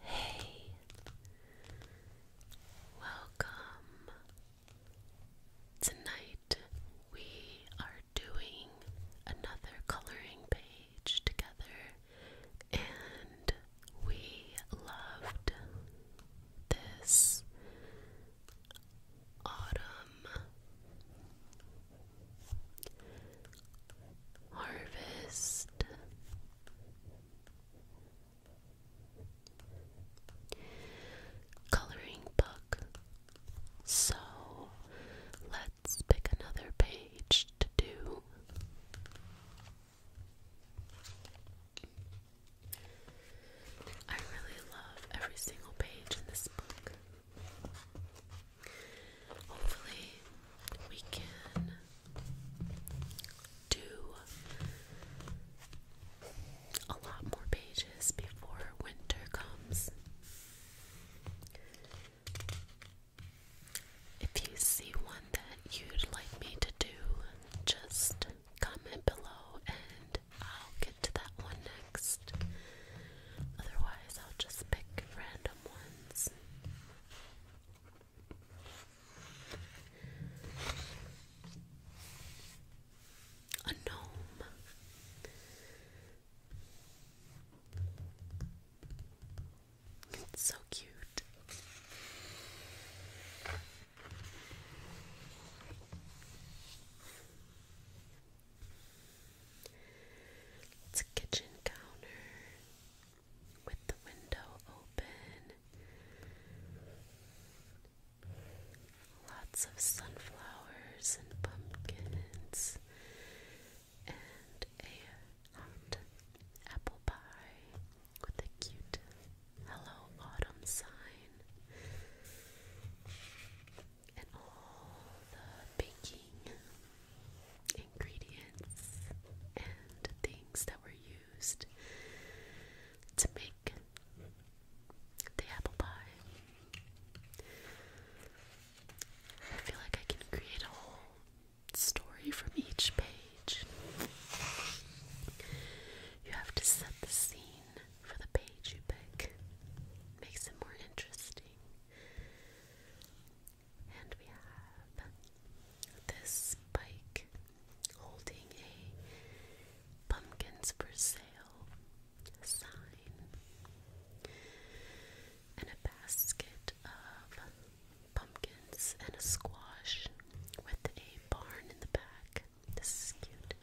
Hey, welcome. Tonight we are doing another coloring page together, and we loved this autumn harvest Coloring book. So let's pick another page to do. I really love every single page in this book hopefully we can do a lot more pages before winter comes. If you see one that you'd like me to do, just comment below and I'll get to that one next. Otherwise, I'll just pick random ones. A gnome. It's so cute. It's a kitchen counter with the window open. Lots of sunflowers and pumpkins and a hot apple pie with a cute hello autumn sign and all the baking ingredients and things that were used to make the apple pie. I feel like I can create a whole story from each page. You have to set the scene for the page you pick. Makes it more interesting. And we have this bike holding a pumpkins for sale sign and a basket of pumpkins and a squash with a barn in the back. This is cute.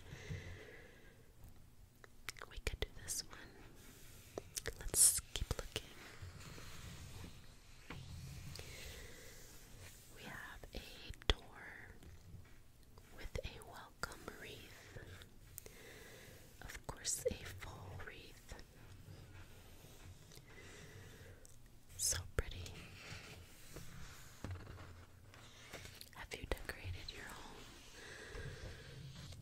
We could do this one. Let's keep looking. We have a door with a welcome wreath. Of course, a fall wreath. So pretty. Have you decorated your home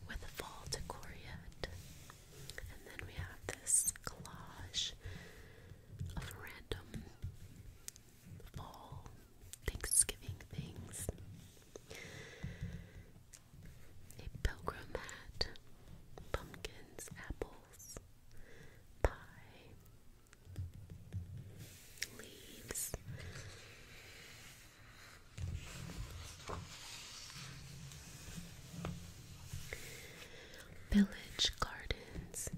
with fall decor yet? And then we have this collage of random fall Thanksgiving things. A pilgrim hat, pumpkins, apples, pie, leaves. Village Gardens.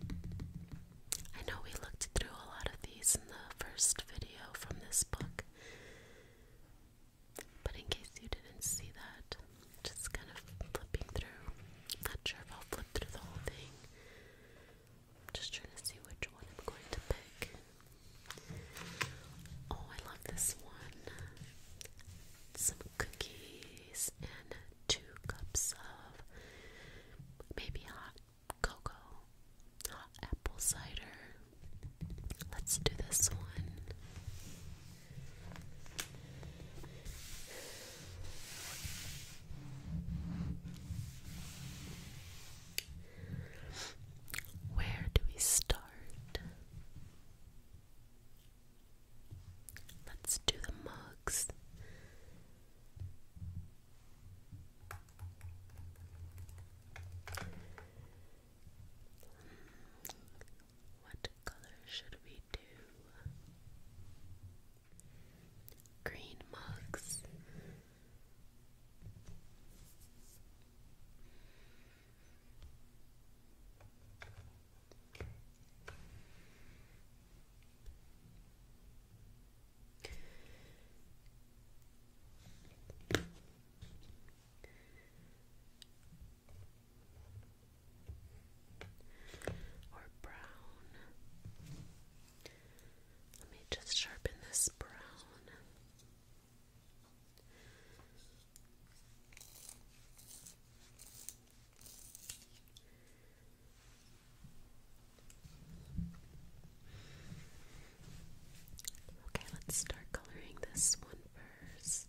I know we looked through a lot of these in the first video from this book, but in case you didn't see that, just kind of flipping through. Not sure if I'll flip through the whole thing. just trying to see which one I'm going to pick. Oh, I love this one some cookies and two cups of maybe hot cocoa, hot apple cider. Let's do this one. Where do we start? Let's do the mugs. What color should we do? Green mugs or brown. Let me just sharpen this brown. Okay, let's start coloring this one first.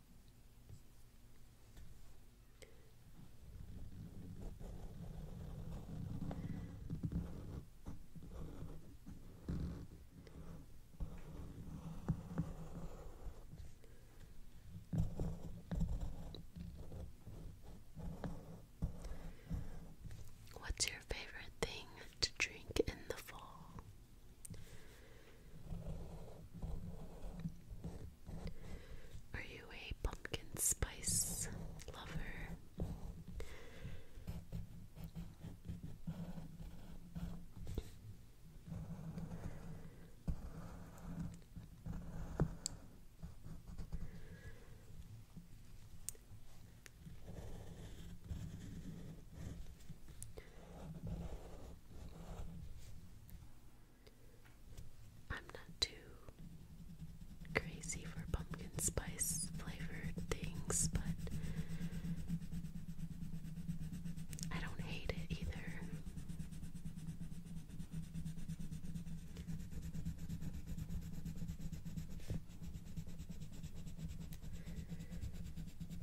What's your favorite thing to drink in the fall? Are you a pumpkin spice lover? I'm not too crazy for pumpkin spice flavored things, but I don't hate it either.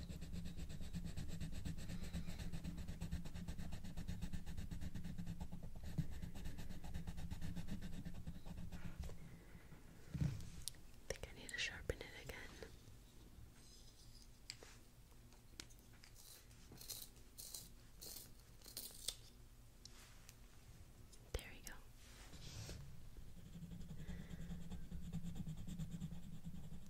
I think I need to sharpen it again. There we go.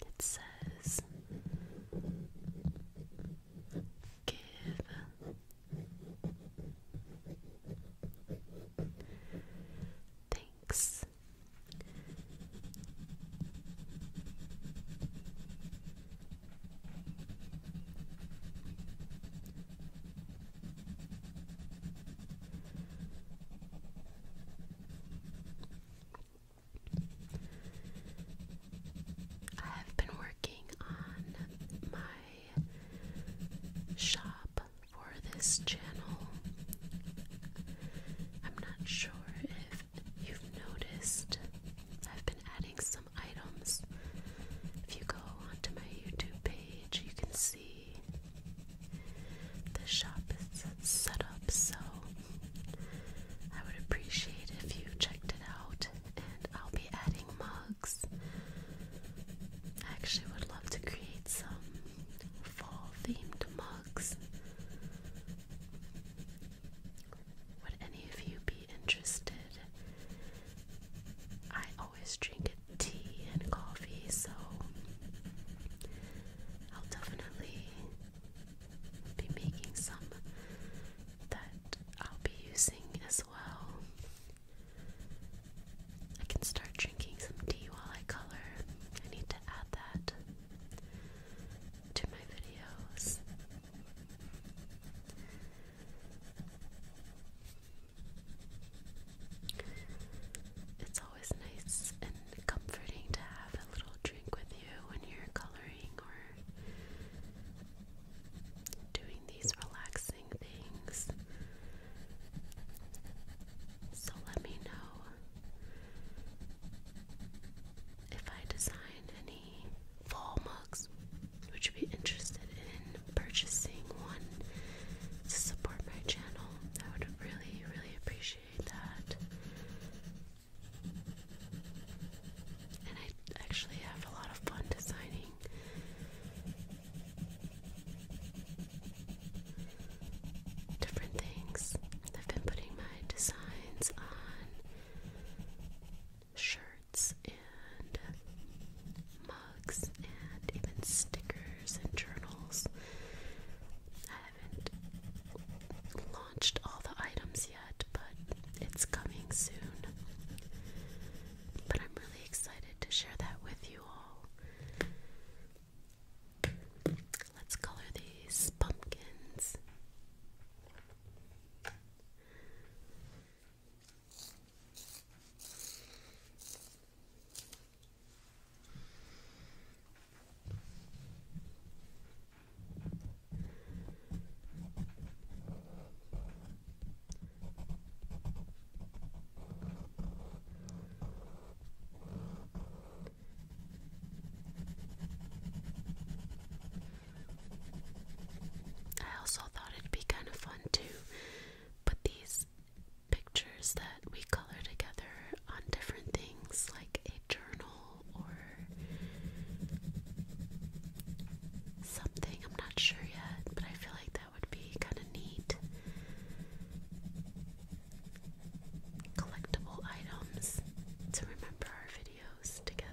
It says, Give thanks. I have been working on my shop for this channel. I'm not sure if you've noticed, I've been adding some items. If you go onto my YouTube page, you can see the shop is set up so I would appreciate if you checked it out, and I'll be adding mugs. I actually would love to create some fall themed mugs. Would any of you be interested? I always drink tea and coffee, so I'll definitely be making some that I'll be using as well. I can start drinking some tea while I color. I need to add that to my videos. It's always nice and comforting to have a little drink with you when you're coloring or doing these relaxing things. So let me know if I design any fall mugs, would you be interested in? purchasing one to support my channel. I would really, really appreciate that. And I actually have a lot of fun designing. Different things. I've been putting my designs on shirts and and even stickers and journals. I haven't launched all the items yet, but it's coming soon. But I'm really excited to share that with you all. Let's color these pumpkins. I also thought it'd be kind of fun to put these pictures that we color together on different things like a journal or something. I'm not sure yet, but I feel like that would be kind of neat. Collectible items to remember our videos together.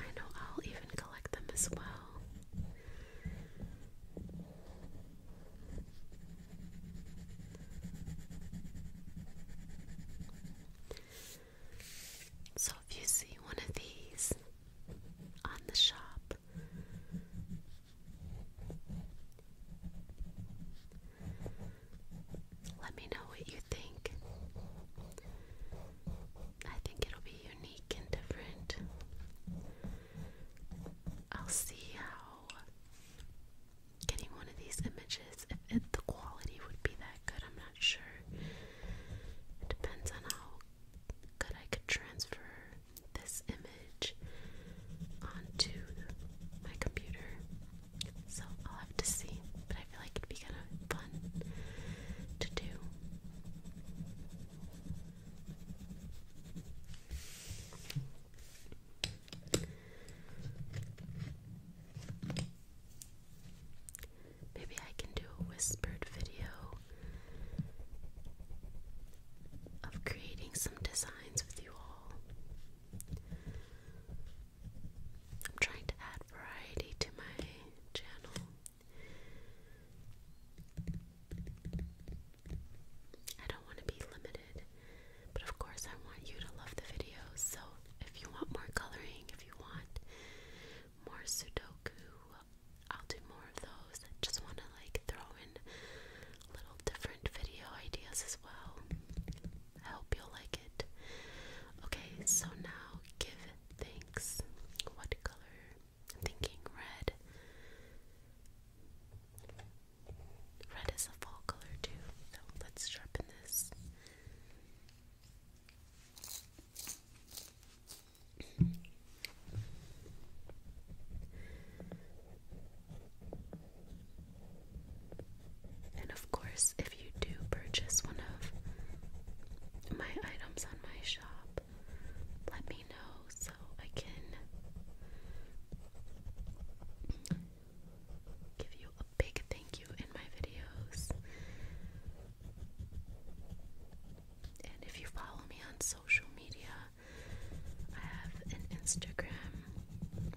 I know I'll even collect them as well. So, if you see one of these on the shop, let me know what you think. I think it'll be unique and different. I'll see how getting one of these images, if the quality would be that good, I'm not sure. It depends on how good I could transfer this image onto my computer. So I'll have to see. But feel like it'd be kind of fun to do. Maybe I can do a whispered video of creating some designs with you all. I'm trying to add variety to my channel. I don't want to be limited, but of course, I want you to love the videos. So, if you want more coloring, if you want more Sudoku, I'll do more of those. I just want to like throw in little different video ideas as well. I hope you'll like it. Okay, so now give Thanks. What color? thinking red. Red is a fall color too, so let's sharpen this. And of course, if you do purchase one of my items on my shop, let me know so I can give you a big thank you in my videos. And if you follow me on social media, I have an Instagram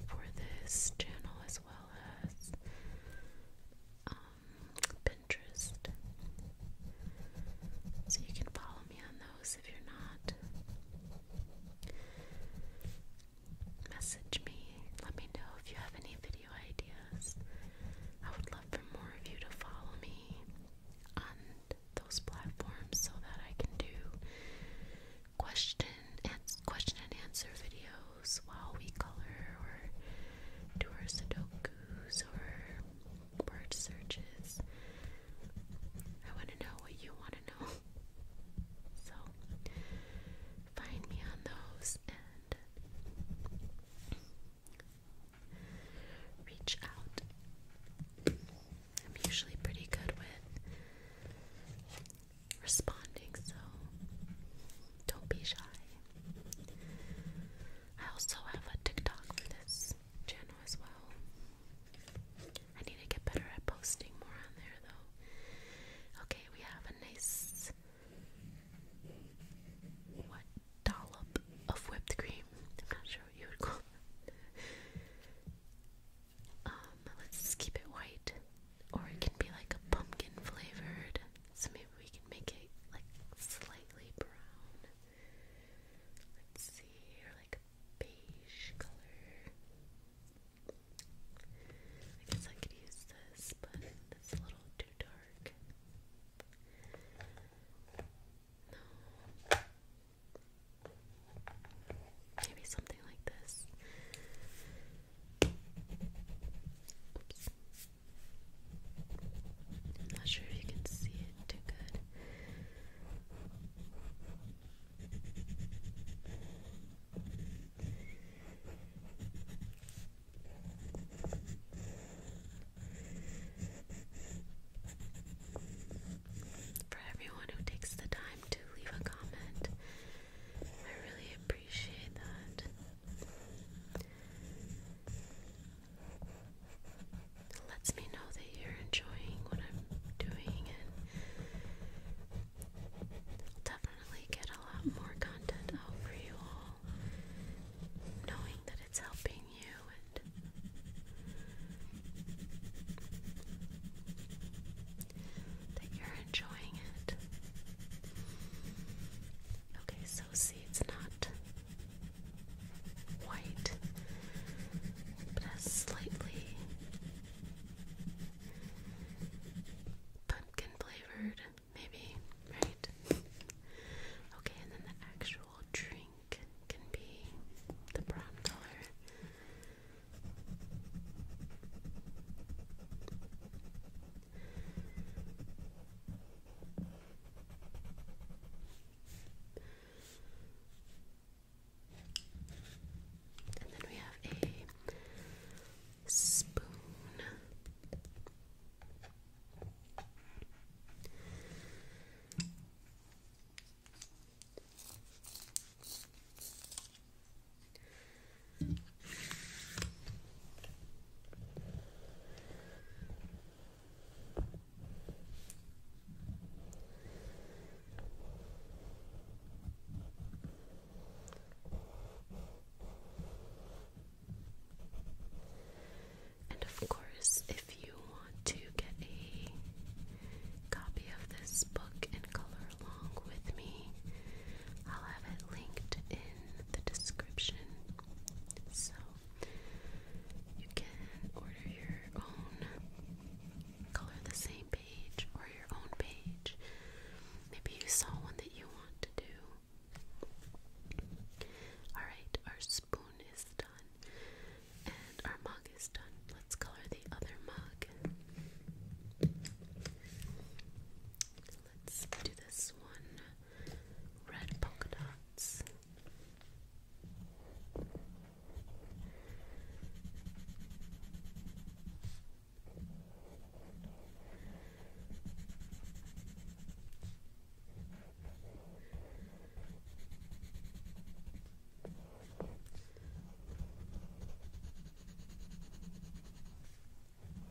for this channel as well as um, so you can follow me on those if you're not. Message me. Let me know if you have any video ideas. I would love for more of you to follow me on those platforms so that I can do question and question and answer videos while we color or do our Sudoku or word searches. I want to know what you want to know. So find me on those and reach out. I'm usually pretty good with responding, so don't be shy. I also have a TikTok for this channel as well. I need to get better at posting more on there though. Okay, we have a nice what dollop of whipped cream. I'm not sure what you would call Um, let's just keep it white. Or it can be like a pumpkin flavored some we can make it like slightly brown. Let's see, or like beige color. I guess I could use this, but it's a little too dark. No. Maybe something like this. I'm not sure if you can see it too good. For everyone who takes the time to leave a comment, I really appreciate that. It lets me know that you're enjoying what I'm doing, and definitely get a lot more content out for you all, knowing that it's helping you. And that you're enjoying it. Okay, so see, it's not white, but has slightly pumpkin flavored, maybe, right? Okay, and then the actual drink can be the brown color. And then we have a spoon. And of course, if you want to get a copy of this book in color along with me, I'll have it linked in the description. So you can order your own color the same page or your own page. Maybe you saw one that you want to do. Alright, our spoon is done and our mug is done. Let's color the other mug. Let's do this one red polka dots.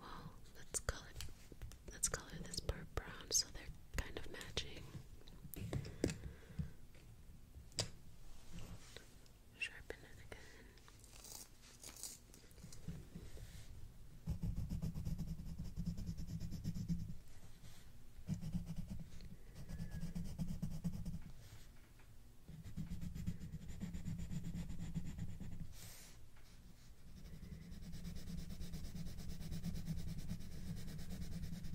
Well, let's color let's color this part brown so they're kind of matching. Sharpen it again.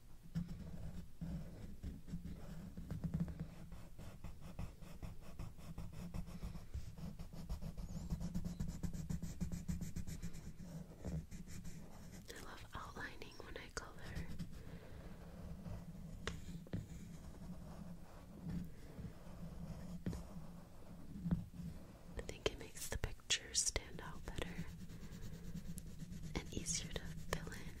I love outlining when I color. I think it makes the pictures stand out better and easier to fill in.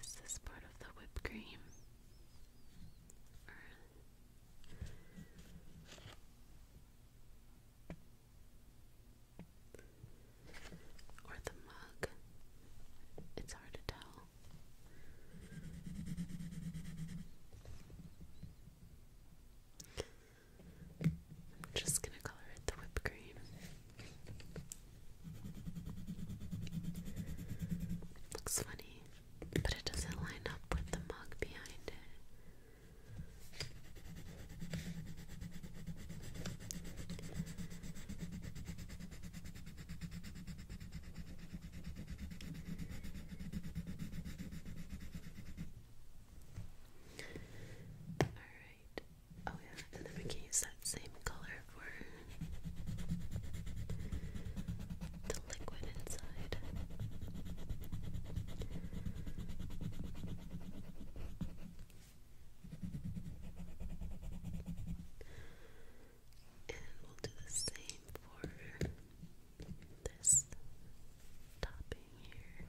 Is this part of the whipped cream? Or the mug. It's hard to tell. I'm just going to color it the whipped cream. Looks funny, but it doesn't line up with the mug behind it. Alright. Oh yeah, and then we can use that same color for the liquid inside. And we'll do the same for this topping here.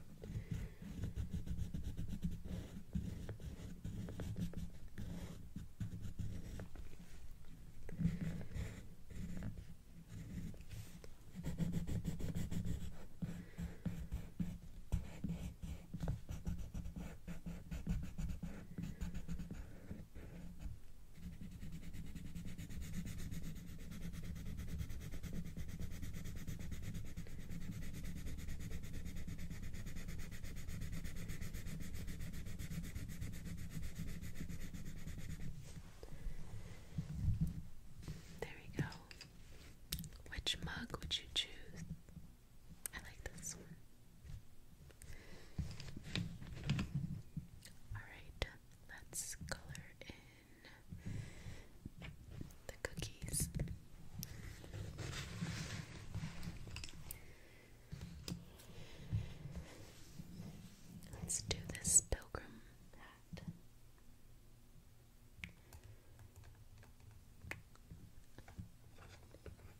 There we go. Which mug would you choose? I like this one. Alright, let's color in the cookies. Let's do this pilgrim hat.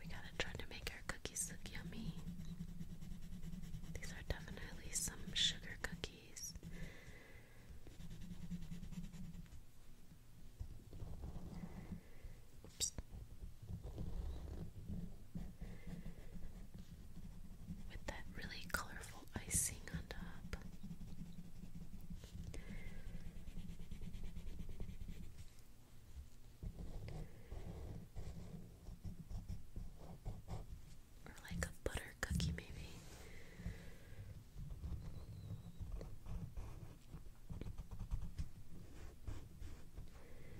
We gotta try to make our cookies look yummy. These are definitely some sugar cookies. Oops. With that really colorful icing on top. Or like a butter cookie, maybe.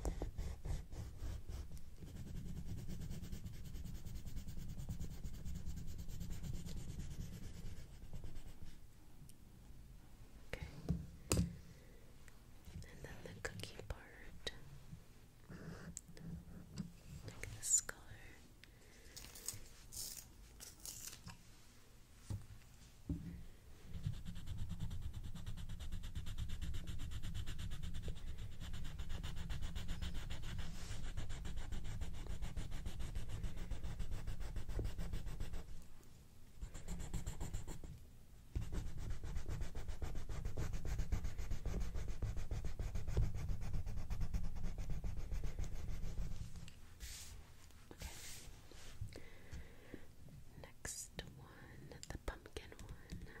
Okay. And then the cookie part. Like this color. Okay. Next one, the pumpkin one.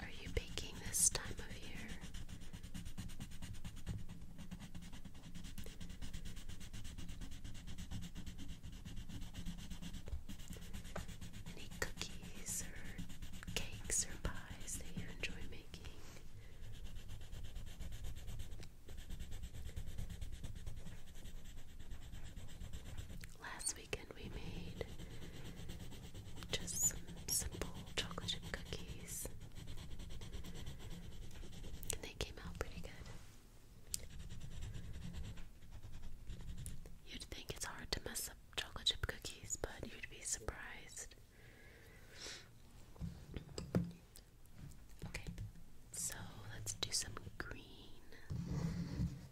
Are you baking this time of year? Any cookies or cakes or pies that you enjoy making? Last weekend we made just some simple chocolate chip cookies. And they came out pretty good. You'd think it's hard to mess up chocolate chip cookies, but you'd be surprised. Okay, so let's do some green.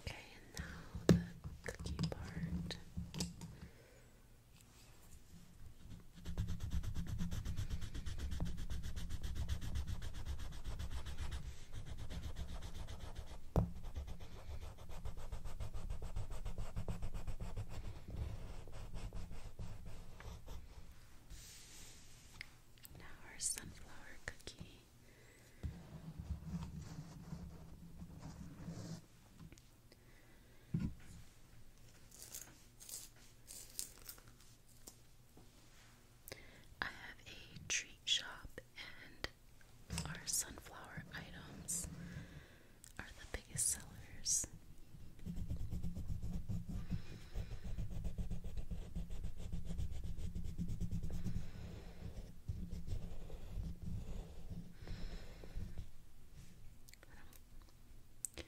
Okay, and now the cookie part. Now, our sunflower cookie. I have a treat shop and our sunflower items are the biggest sellers. I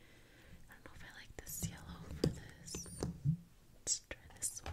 don't, know if I like this yellow for this. Let's try this one.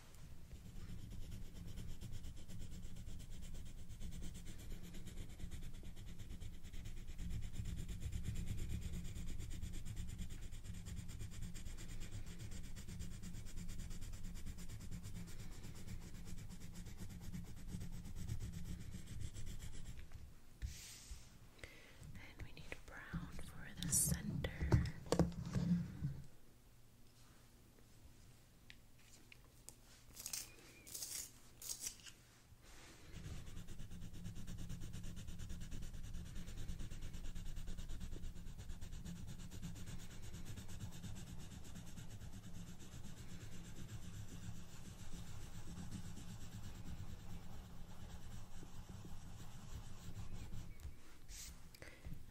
And we need brown for the center.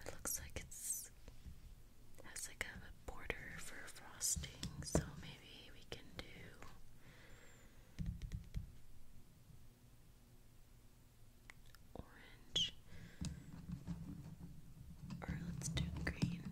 It looks like it's has like a border for frosting, so maybe we can do. Orange, or let's do green.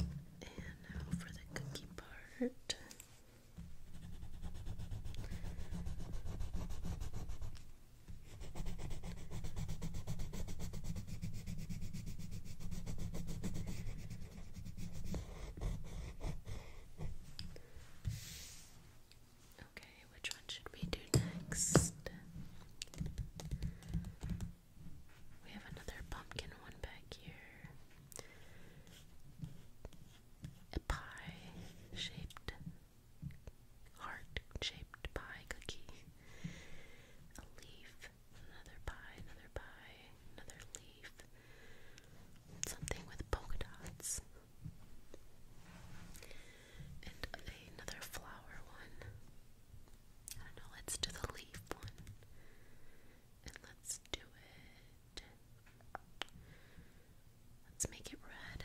And now for the cookie part. Okay, which one should we do next? We have another pumpkin one back here a pie-shaped, heart-shaped pie cookie, a leaf, another pie, another pie, another leaf, something with polka dots, and another flower one. I don't know, let's do the leaf one. And let's do it. Let's make it red.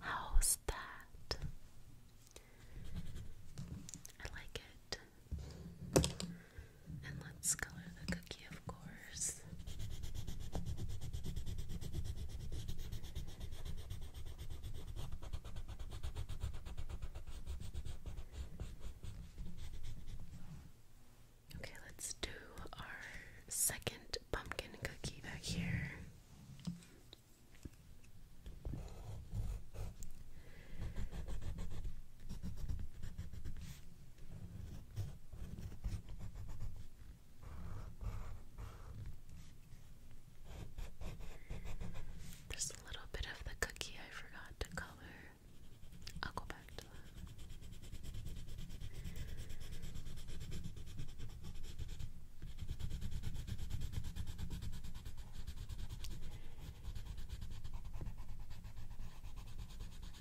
How's that? I like it. And let's color the cookie, of course. Okay, let's do our second pumpkin cookie back here. There's a little bit of the cookie I forgot to color. I'll go back to that.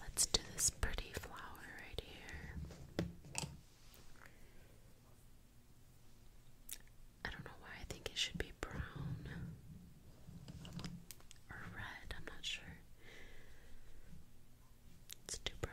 Let's do this pretty flower right here. I don't know why I think it should be brown or red, I'm not sure. It's too brown.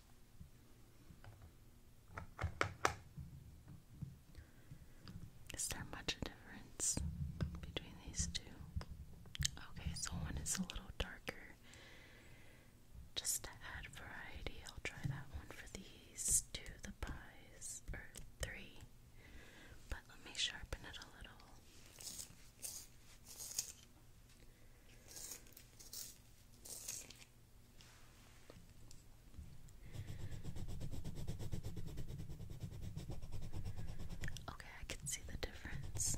Is there much a difference between these two? Okay, so one is a little darker. Just to add variety, I'll try that one for these two, the pies, or three. But let me sharpen it a little. Okay, I can see the difference.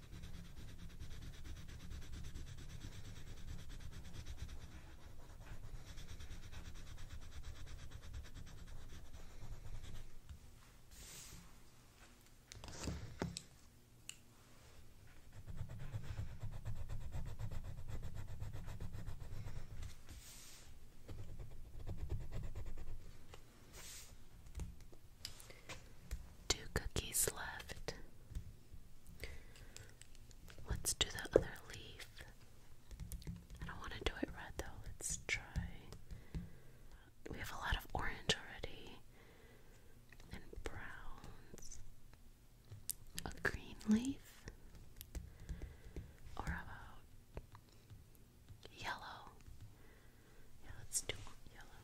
Two cookies left. Let's do the other leaf. I don't want to do it red though. Let's try. We have a lot of orange already and browns. A green leaf or about yellow. Yeah, let's do yellow.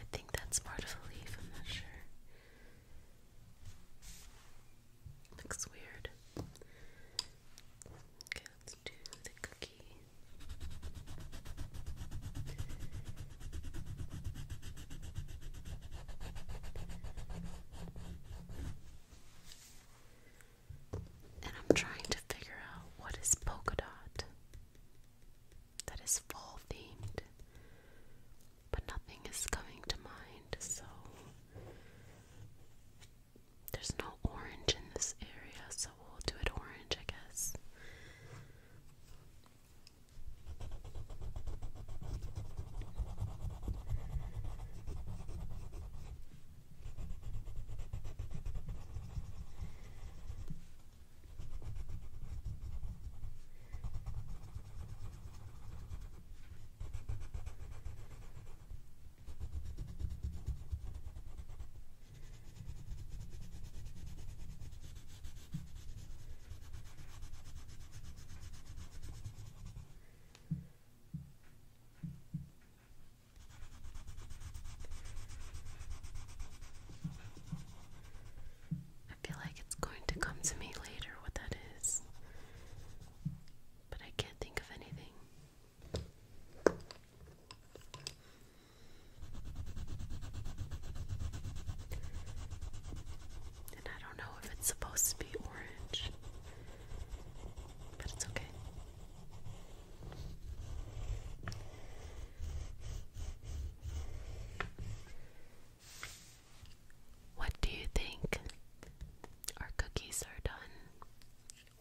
I think that's part of a leaf, I'm not sure. Looks weird. Okay, do the cookie. And I'm trying to figure out what is polka dot that is fall themed, but nothing is coming to mind, so there's no orange in this area, so we'll do it orange, I guess. I feel like it's going to come to me later what that is, but I can't think of anything. And I don't know if it's supposed to be orange, but it's okay. What do you think? Our cookies are done.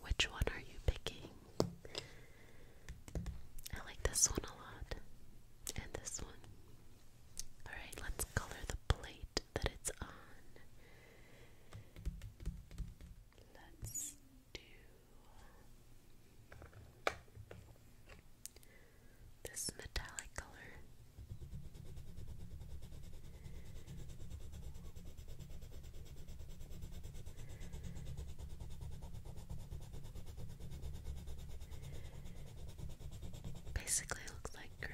Which one are you picking? I like this one a lot. And this one. Alright, let's color the plate that it's on. Let's do this metallic color. Basically, looks like gray.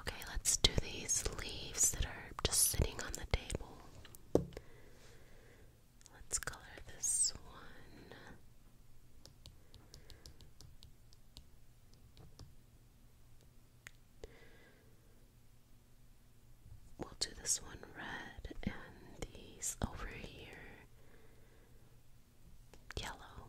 Okay, let's do these leaves that are just sitting on the table. Let's color this one. We'll do this one red and these over here yellow.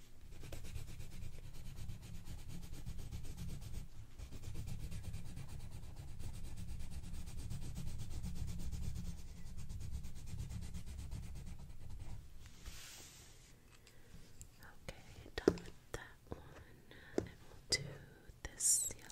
Okay, done that one, and we'll do this yellow.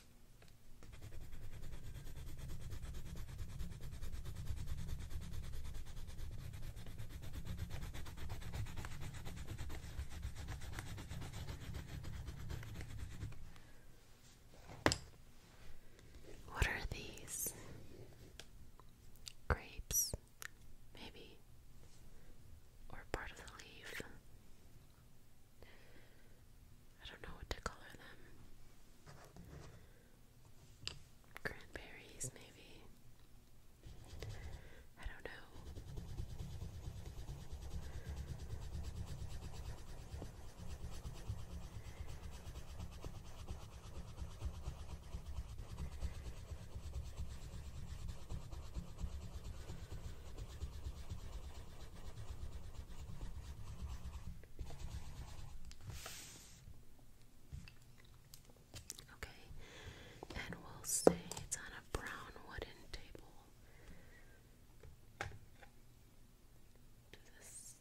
What are these? Grapes, maybe, or part of the leaf. I don't know what to color them. Cranberries, maybe. I don't know. Okay, and we'll say it's on a brown wooden table. This.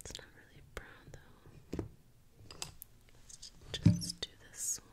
It's not really brown though. just do this one.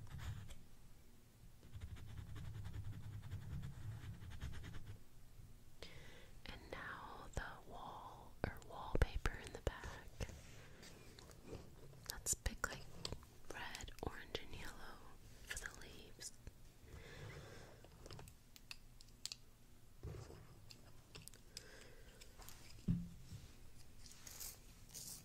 And now the wall or wallpaper in the back. Let's pick like red, orange, and yellow for the leaves.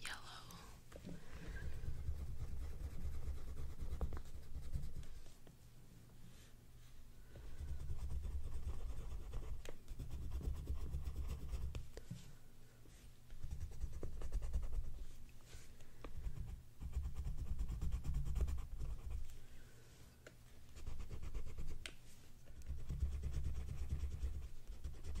yellow. All and red.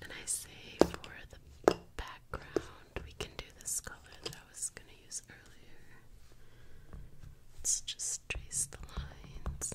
And I say for the background, we can do this color that I was going to use earlier. Let's just trace the lines.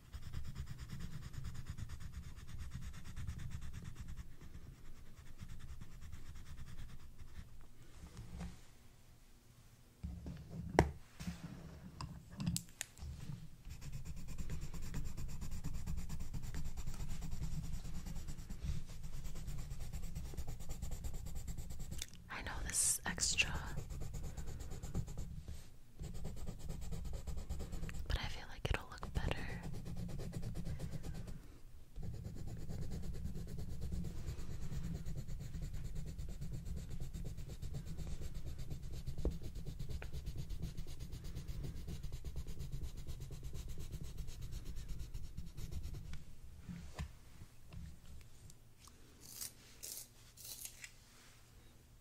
I know this extra, but I feel like it'll look better.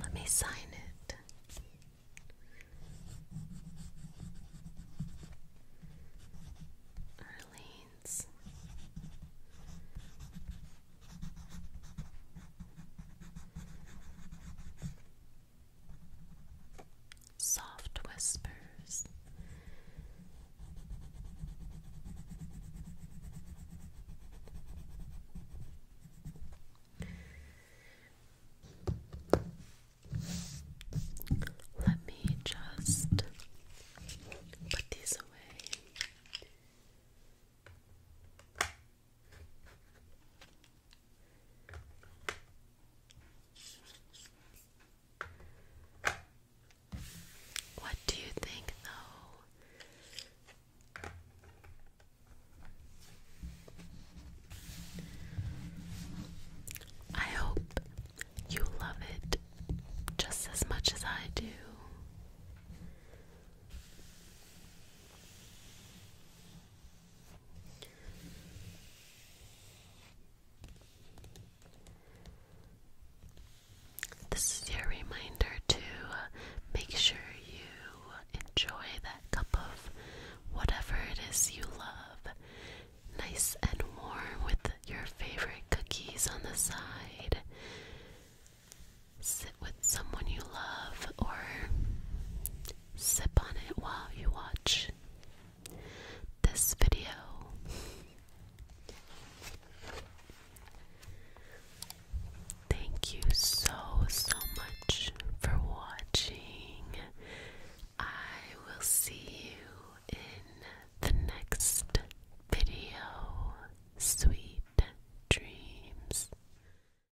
Let me sign it. Arlene's soft whispers. Let me just put these away. What do you think, though? I hope you love it just as much as I do. This is your reminder to uh, make sure you enjoy that cup of whatever it is you love, nice and warm with your favorite cookies on the side. Sit with someone you love or Sip on it while you watch this video. Thank you so, so much for watching. I will see you in the next video. Sweet dreams.